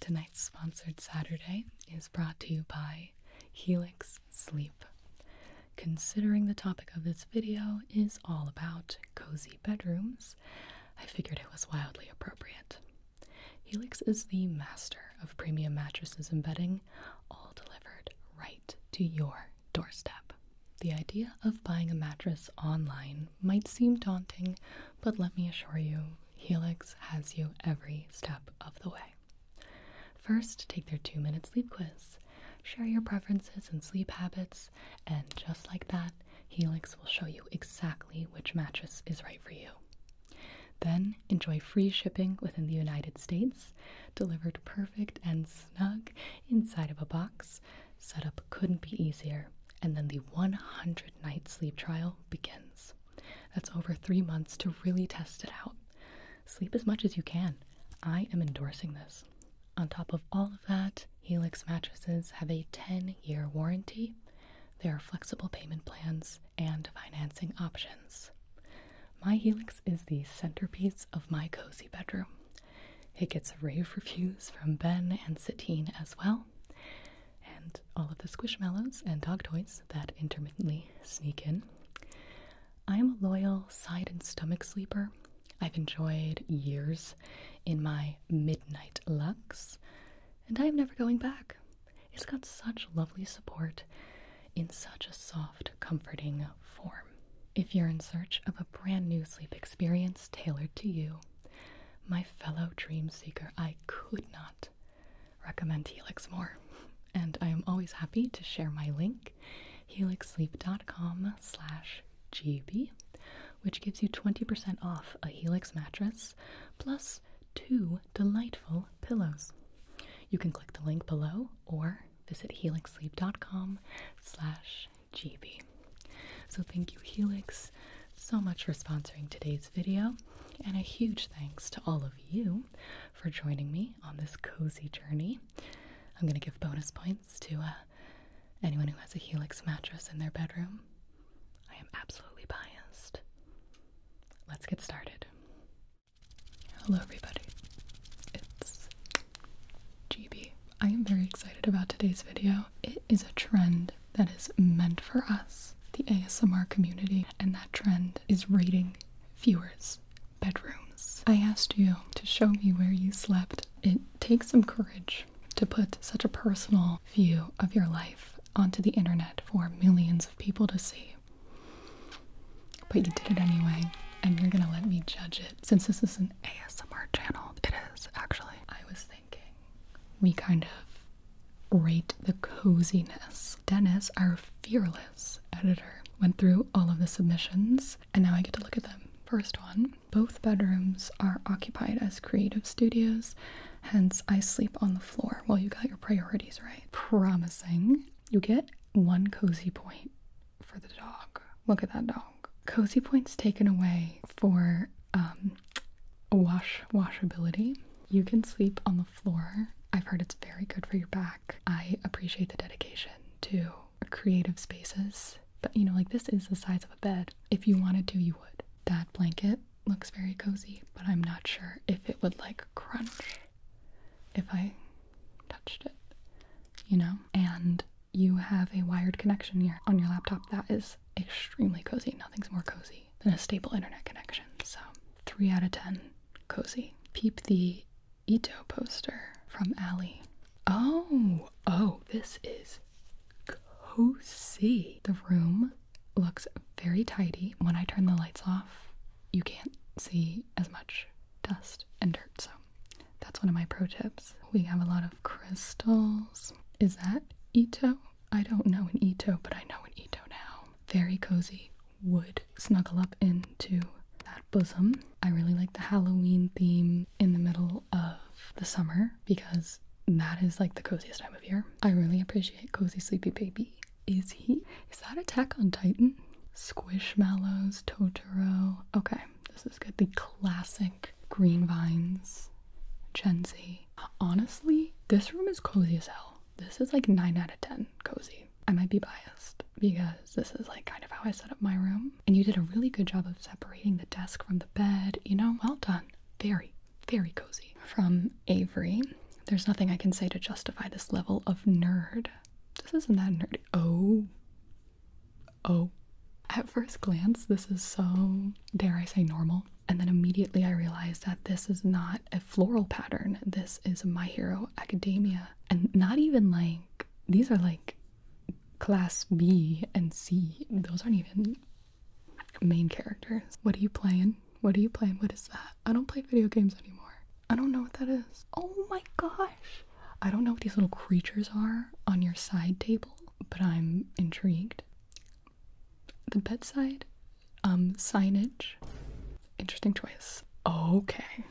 Tonight's sponsored Saturday is brought to you by Helix Sleep. Considering the topic of this video is all about cozy bedrooms, I figured it was wildly appropriate. Helix is the master of premium mattresses and bedding, all delivered right to your doorstep. The idea of buying a mattress online might seem daunting, but let me assure you, Helix has you every step of the way. First, take their two minute sleep quiz. Share your preferences and sleep habits, and just like that, Helix will show you exactly which mattress is right for you. Then enjoy free shipping within the United States, delivered perfect and snug inside of a box. Setup couldn't be easier, and then the 100 night sleep trial begins. That's over three months to really test it out. Sleep as much as you can. I am endorsing this. On top of all of that, Helix mattresses have a 10 year warranty. There are flexible payment plans and financing options. My Helix is the centerpiece of my cozy bedroom. It gets rave reviews from Ben and Satine as well and all of the squishmallows and dog toys that intermittently sneak in. I am a loyal side and stomach sleeper. I've enjoyed years in my midnight lux, and I am never going back. It's got such lovely support in such a soft, comforting form. If you're in search of a brand new sleep experience tailored to you, my fellow dream seeker, I could not recommend Helix more. And I am always happy to share my link, helixsleep.com slash GB, which gives you 20% off a Helix mattress plus two delightful pillows. You can click the link below or visit helixsleep.com slash GB. So thank you Helix so much for sponsoring today's video, and a huge thanks to all of you for joining me on this cozy journey. I'm going to give bonus points to uh, anyone who has a Helix mattress in their bedroom. I am absolutely biased. Let's get started. Hello, everybody. It's GB. I am very excited about today's video. It is a trend that is meant for us, the ASMR community, and that trend is rating viewers' bedrooms. I asked you to show me where you slept. It takes some courage to put such a personal view of your life onto the internet for millions of people to see. But you did it anyway, and you're gonna let me judge it. Since this is an ASMR channel, it is actually. I was thinking we kind of rate the coziness. Dennis, our fearless editor, went through all of the submissions and now I get to look at them. First one both bedrooms are occupied as creative studios, hence, I sleep on the floor. Well, you got your priorities right. Promising. You get one cozy point for the dog. Look at that dog. Cozy points taken away for um, wash washability. You can sleep on the floor. I've heard it's very good for your back. I appreciate the dedication to creative spaces. But you know, like this is the size of a bed. If you wanted to, you would. That blanket looks very cozy, but I'm not sure if it would like crunch if I touched it, you know? And you have a wired connection here on your laptop that is extremely cozy. Nothing's more cozy than a stable internet connection. So, 3 out of 10 cozy. Peep the Ito poster from Allie. Oh, oh, this is cozy. The room looks very tidy. When I turn the lights off, you can't see as much dust and dirt. So, that's one of my pro tips. We have a lot of crystals is that Ito? I don't know an Ito, but I know an Ito now. Very cozy, would snuggle up into that bosom. I really like the Halloween theme in the middle of the summer because that is like the coziest time of year. I really appreciate Cozy Sleepy Baby. Is he? Is that Attack on Titan? Squishmallows, Totoro. Okay, this is good. The classic green vines Gen Honestly, this room is cozy as hell. This is like 9 out of 10 cozy. I might be biased because this is like kind of how I set up my room. And you did a really good job of separating the desk from the bed. You know, well done. Very, very cozy. From Avery, there's nothing I can say to justify this level of nerd. This isn't that nerdy. Oh, oh, at first glance, this is so, dare I say, normal. And then immediately I realized that this is not a floral pattern. This is My Hero Academia. And not even like, these are like class B and C. Those aren't even main characters. What are you playing? What are you playing? What is that? I don't play video games anymore. I don't know what that is. Oh my gosh. I don't know what these little creatures are on your side table, but I'm intrigued. The bedside um, signage. Interesting choice. Okay.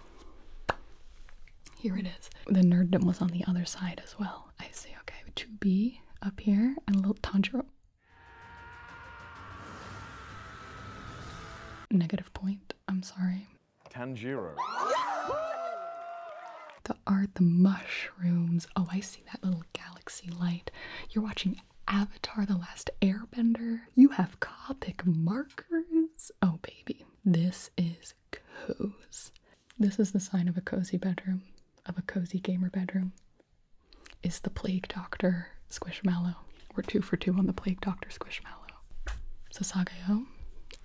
Here it is. The nerddom was on the other side as well. I see. Okay. 2B up here and a little Tanjiro. Negative point. I'm sorry. Tanjiro. the art, the mushrooms. Oh, I see that little galaxy light. You're watching Avatar The Last Airbender. You have Copic markers. Oh, baby. This is cozy. This is the sign of a cozy bedroom, of a cozy gamer bedroom. Is the Plague Doctor Squishmallow. We're two for two on the Plague Doctor Squishmallow. Sasagayo.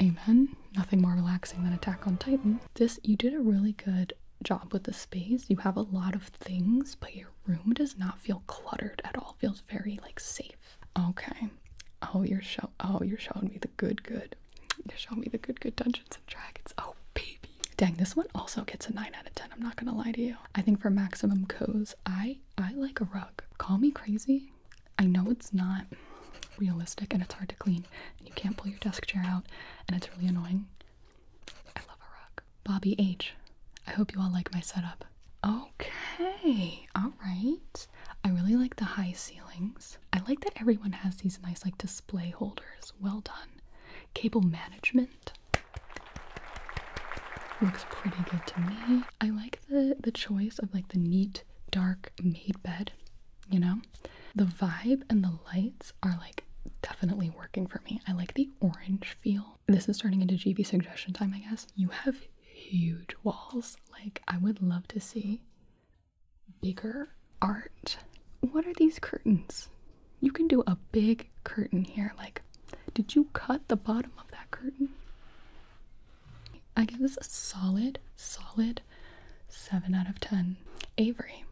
Amen. Nothing more relaxing than Attack on Titan. This, you did a really good job with the space. You have a lot of things, but your room does not feel cluttered at all. feels very like safe. Okay. Oh, you're show. Oh, you're showing me the good, good. You're showing me the good, good Dungeons and Dragons. Oh, baby. Dang, this one also gets a nine out of ten. I'm not gonna lie to you. I think for maximum cozy, I I like a rug. Call me crazy. I know it's not realistic and it's hard to clean and you can't pull your desk chair out and it's really annoying. I love a rug. Bobby H. I hope you all like my setup. Okay, alright. I really like the high ceilings. I like that everyone has these nice like display holders. Well done. Cable management looks pretty good to me. I like the the choice of like the neat dark made bed you know? The vibe and the lights are like definitely working for me. I like the orange feel. This is turning into GB suggestion time, I guess. You have huge walls. Like, I would love to see bigger art. What are these curtains? You can do a big curtain here. Like, did you cut the bottom of that curtain? I guess this a solid, solid 7 out of 10. Avery.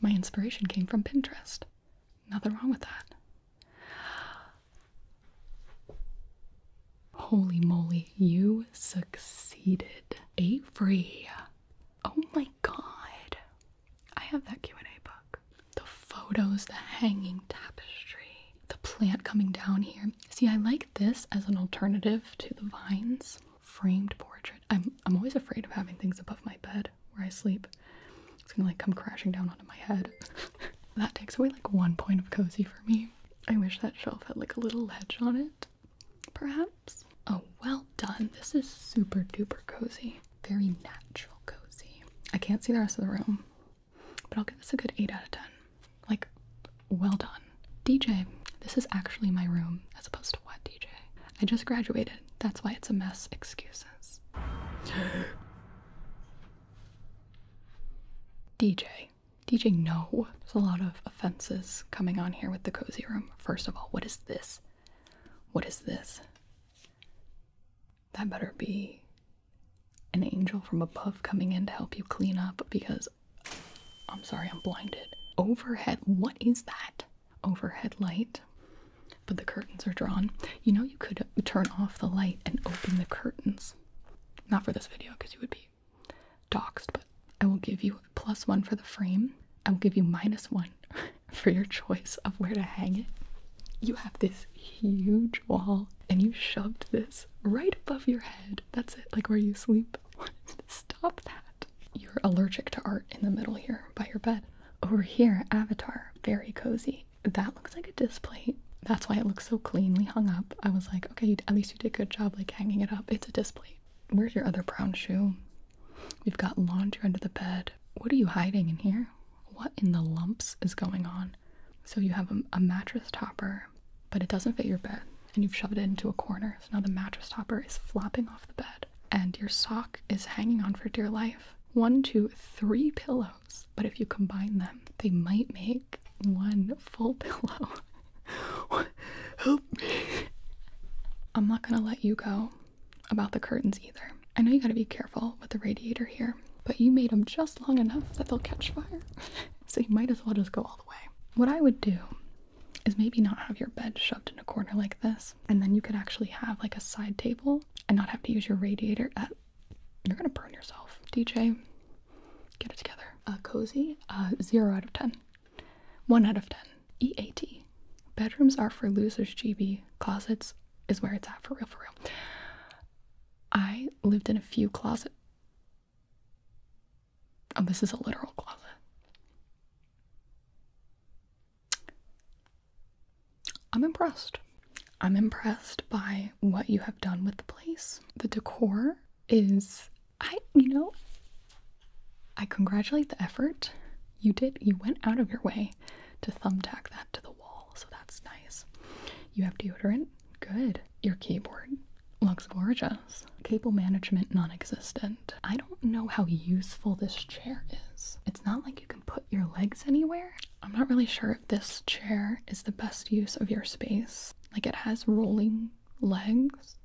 My inspiration came from Pinterest. Nothing wrong with that. Holy moly, you succeeded. Avery. Oh my god. I have that Q&A book. The photos, the hanging tapestry, the plant coming down here. See, I like this as an alternative to the vines. Framed portrait i I'm I'm always afraid of having things above my bed where I sleep. It's gonna like come crashing down onto my head. that takes away like one point of cozy for me. I wish that shelf had like a little ledge on it, perhaps. Oh, well done. This is super duper cozy. Very natural cozy. I can't see the rest of the room, but I'll give this a good eight out of ten. Like, well done. DJ, this is actually my room as opposed to what, DJ? I just graduated. That's why it's a mess. Excuses. DJ. DJ, no. There's a lot of offenses coming on here with the cozy room. First of all, what is this? What is this? That better be an angel from above coming in to help you clean up because I'm sorry, I'm blinded. Overhead, what is that? Overhead light. But the curtains are drawn. You know, you could turn off the light and open the curtains. Not for this video because you would be doxxed, but I will give you plus one for the frame. I will give you minus one for your choice of where to hang it. You have this huge wall and you shoved this right above your head that's it. Like where you sleep. Stop that. You're allergic to art in the middle here by your bed. Over here, Avatar. Very cozy. That looks like a display. That's why it looks so cleanly hung up. I was like, okay, at least you did a good job like hanging it up. It's a display. Where's your other brown shoe? We've got laundry under the bed. What are you hiding in here? What in the lumps is going on? So you have a mattress topper, but it doesn't fit your bed and you've shoved it into a corner. So now the mattress topper is flopping off the bed and your sock is hanging on for dear life. One, two, three pillows, but if you combine them, they might make one full pillow. Help me. I'm not gonna let you go about the curtains either. I know you gotta be careful with the radiator here, but you made them just long enough that they'll catch fire. so you might as well just go all the way. What I would do is maybe not have your bed shoved in a corner like this and then you could actually have like a side table and not have to use your radiator at you're gonna burn yourself dj get it together uh, cozy uh, 0 out of 10 1 out of 10 eat bedrooms are for losers gb closets is where it's at for real for real i lived in a few closets. Oh, this is a literal closet. I'm impressed. I'm impressed by what you have done with the place. The decor is, I, you know, I congratulate the effort. You did, you went out of your way to thumbtack that to the wall, so that's nice. You have deodorant, good. Your keyboard, looks gorgeous. Cable management non existent. I don't know how useful this chair is. It's not like you can put your legs anywhere. I'm not really sure if this chair is the best use of your space. Like it has rolling legs.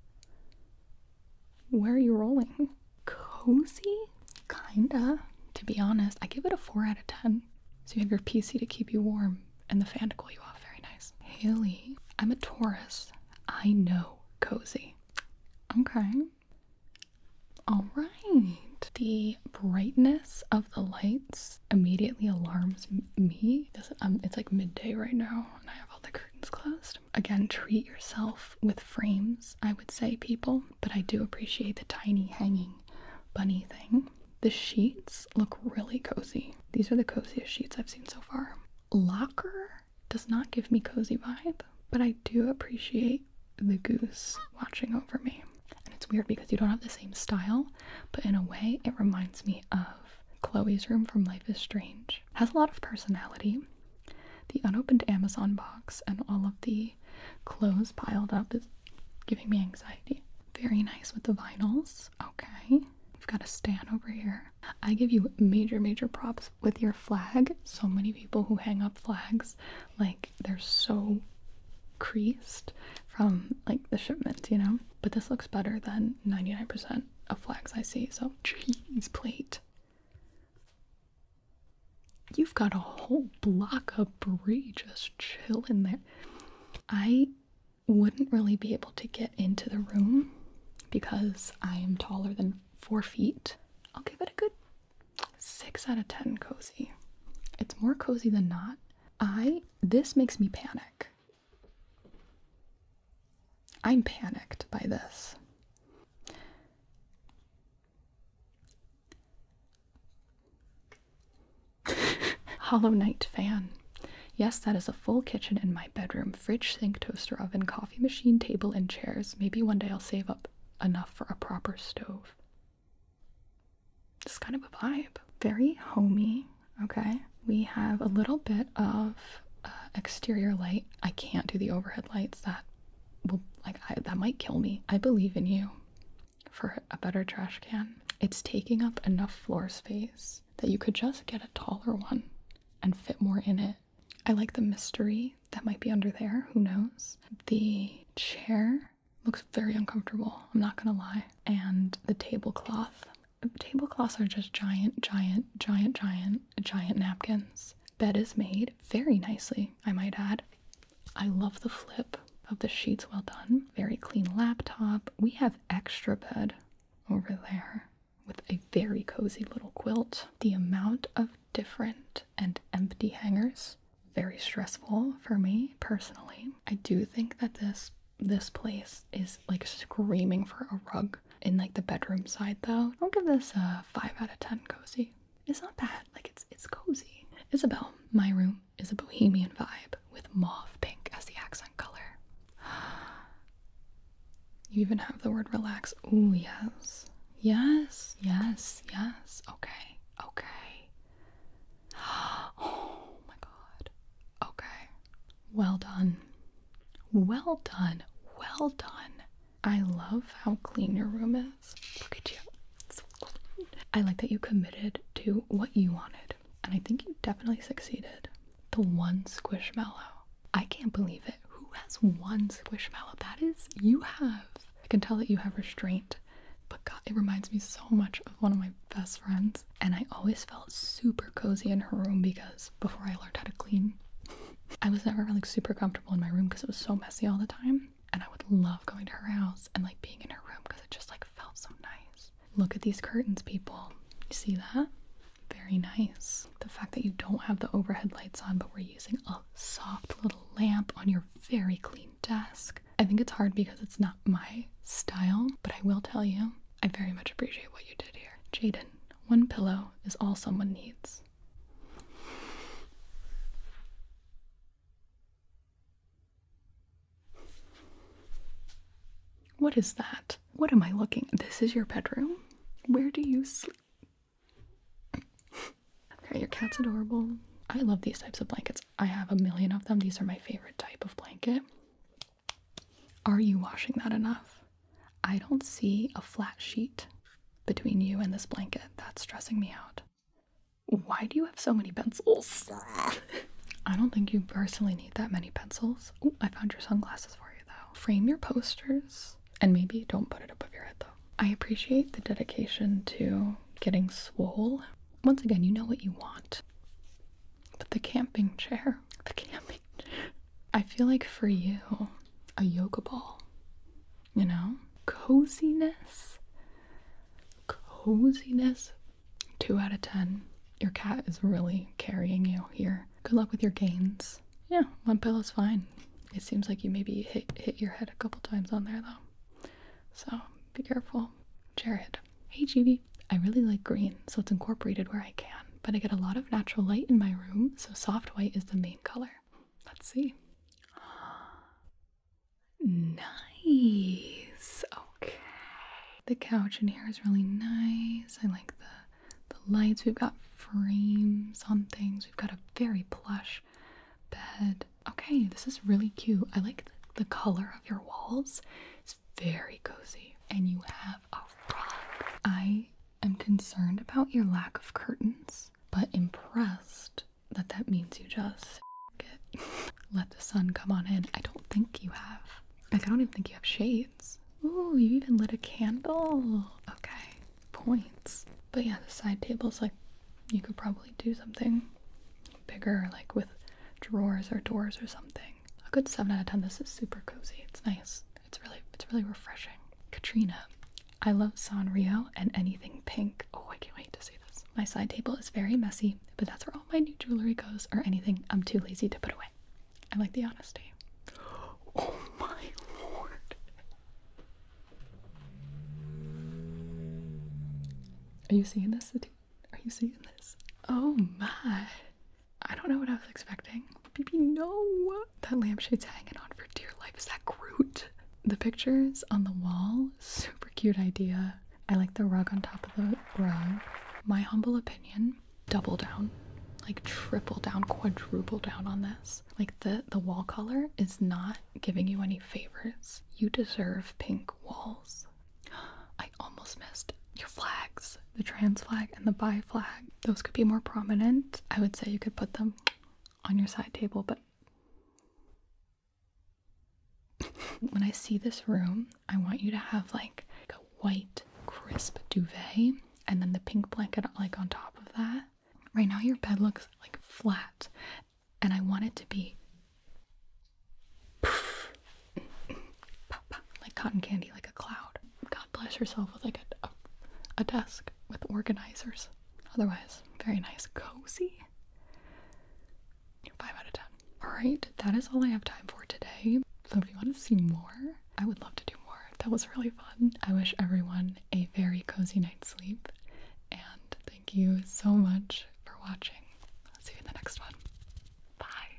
Where are you rolling? Cozy? Kinda. To be honest, I give it a 4 out of 10. So you have your PC to keep you warm and the fan to cool you off. Very nice. Haley, I'm a Taurus. I know cozy. Okay. All right. The brightness of the lights immediately alarms me. Um, it's like midday right now, and I have all the curtains closed. Again, treat yourself with frames, I would say, people, but I do appreciate the tiny hanging bunny thing. The sheets look really cozy. These are the coziest sheets I've seen so far. Locker does not give me cozy vibe, but I do appreciate the goose watching over me. And it's weird because you don't have the same style, but in a way, it reminds me of Chloe's room from Life is Strange. has a lot of personality. The unopened Amazon box and all of the clothes piled up is giving me anxiety. Very nice with the vinyls. Okay. We've got a stand over here. I give you major, major props with your flag. So many people who hang up flags, like, they're so creased from like the shipments, you know? But this looks better than 99% of flags I see. So, cheese plate. You've got a whole block of brie just chilling there. I wouldn't really be able to get into the room because I am taller than four feet. I'll give it a good 6 out of 10 cozy. It's more cozy than not. I this makes me panic. I'm panicked by this. Hollow Knight fan. Yes, that is a full kitchen in my bedroom. Fridge, sink, toaster oven, coffee machine, table, and chairs. Maybe one day I'll save up enough for a proper stove. It's kind of a vibe. Very homey, okay? We have a little bit of uh, exterior light. I can't do the overhead lights. That will, like, that might kill me. I believe in you for a better trash can. It's taking up enough floor space that you could just get a taller one and fit more in it. I like the mystery that might be under there, who knows? The chair looks very uncomfortable, I'm not gonna lie. And the tablecloth. Tablecloths are just giant, giant, giant, giant, giant napkins. Bed is made very nicely, I might add. I love the flip of the sheets well done. Very clean laptop. We have extra bed over there with a very cozy little quilt. The amount of different and empty hangers, very stressful for me personally. I do think that this this place is like screaming for a rug in like the bedroom side though. I'll give this a 5 out of 10 cozy. It's not bad. Like it's it's cozy. Isabel, my room is a bohemian vibe with mauve pink as the accent color. You even have the word relax. Oh yes. Yes, yes, yes. Okay, okay. Oh my god. Okay. Well done. Well done. Well done. I love how clean your room is. Look at you. I like that you committed to what you wanted and I think you definitely succeeded. The one squishmallow. I can't believe it. Who has one squishmallow? That is, you have. I can tell that you have restraint, but God, it reminds me so much of one of my best friends. And I always felt super cozy in her room because before I learned how to clean, I was never like super comfortable in my room because it was so messy all the time. And I would love going to her house and like being in her room because it just like felt so nice. Look at these curtains, people. You see that? Very nice. The fact that you don't have the overhead lights on, but we're using a soft little lamp on your very clean desk. I think it's hard because it's not my style, but I will tell you, I very much appreciate what you did here. Jaden, one pillow is all someone needs. What is that? What am I looking? This is your bedroom. Where do you sleep? okay, your cat's adorable. I love these types of blankets. I have a million of them. These are my favorite type of blanket. Are you washing that enough? I don't see a flat sheet between you and this blanket. That's stressing me out. Why do you have so many pencils? I don't think you personally need that many pencils. I found your sunglasses for you though. Frame your posters and maybe don't put it above your head though. I appreciate the dedication to getting swole. Once again, you know what you want. But the camping chair, the camping chair. I feel like for you, a yoga ball, you know? Coziness, coziness. Two out of ten. Your cat is really carrying you here. Good luck with your gains. Yeah, one pillow's fine. It seems like you maybe hit hit your head a couple times on there though. So be careful. Jared. Hey GB. I really like green, so it's incorporated where I can. But I get a lot of natural light in my room, so soft white is the main color. Let's see. Nice. Oh, Okay. The couch in here is really nice. I like the the lights. We've got frames on things. We've got a very plush bed. Okay, this is really cute. I like the, color of your walls. It's very cozy. And you have a rug. I am concerned about your lack of curtains, but impressed that that means you just let the sun come on in. I don't think you have. I don't even think you have shades. Ooh, you even lit a candle. Okay, points. But yeah, the side table is like you could probably do something bigger, like with drawers or doors or something. A good seven out of ten. This is super cozy. It's nice. It's really, it's really refreshing. Katrina, I love Sanrio and anything pink. Oh, I can't wait to see this. My side table is very messy, but that's where all my new jewelry goes or anything I'm too lazy to put away. I like the honesty. Oh my lord. Are you seeing this? Are you seeing this? Oh my. I don't know what I was expecting. Baby, no! That lampshade's hanging on for dear life. Is that Groot? The pictures on the wall, super cute idea. I like the rug on top of the rug. My humble opinion double down, like triple down, quadruple down on this. Like the the wall color is not giving you any favors. You deserve pink walls. I almost missed your flags, the trans flag and the bi flag. Those could be more prominent. I would say you could put them on your side table, but when I see this room, I want you to have like a white crisp duvet and then the pink blanket like on top of that. Right now your bed looks like flat and I want it to be like cotton candy, like a cloud. God bless yourself with like a, a desk with organizers. Otherwise, very nice, cozy. Five out of ten. Alright, that is all I have time for today. So if you want to see more, I would love to do more. That was really fun. I wish everyone a very cozy night's sleep. And thank you so much for watching. I'll see you in the next one. Bye.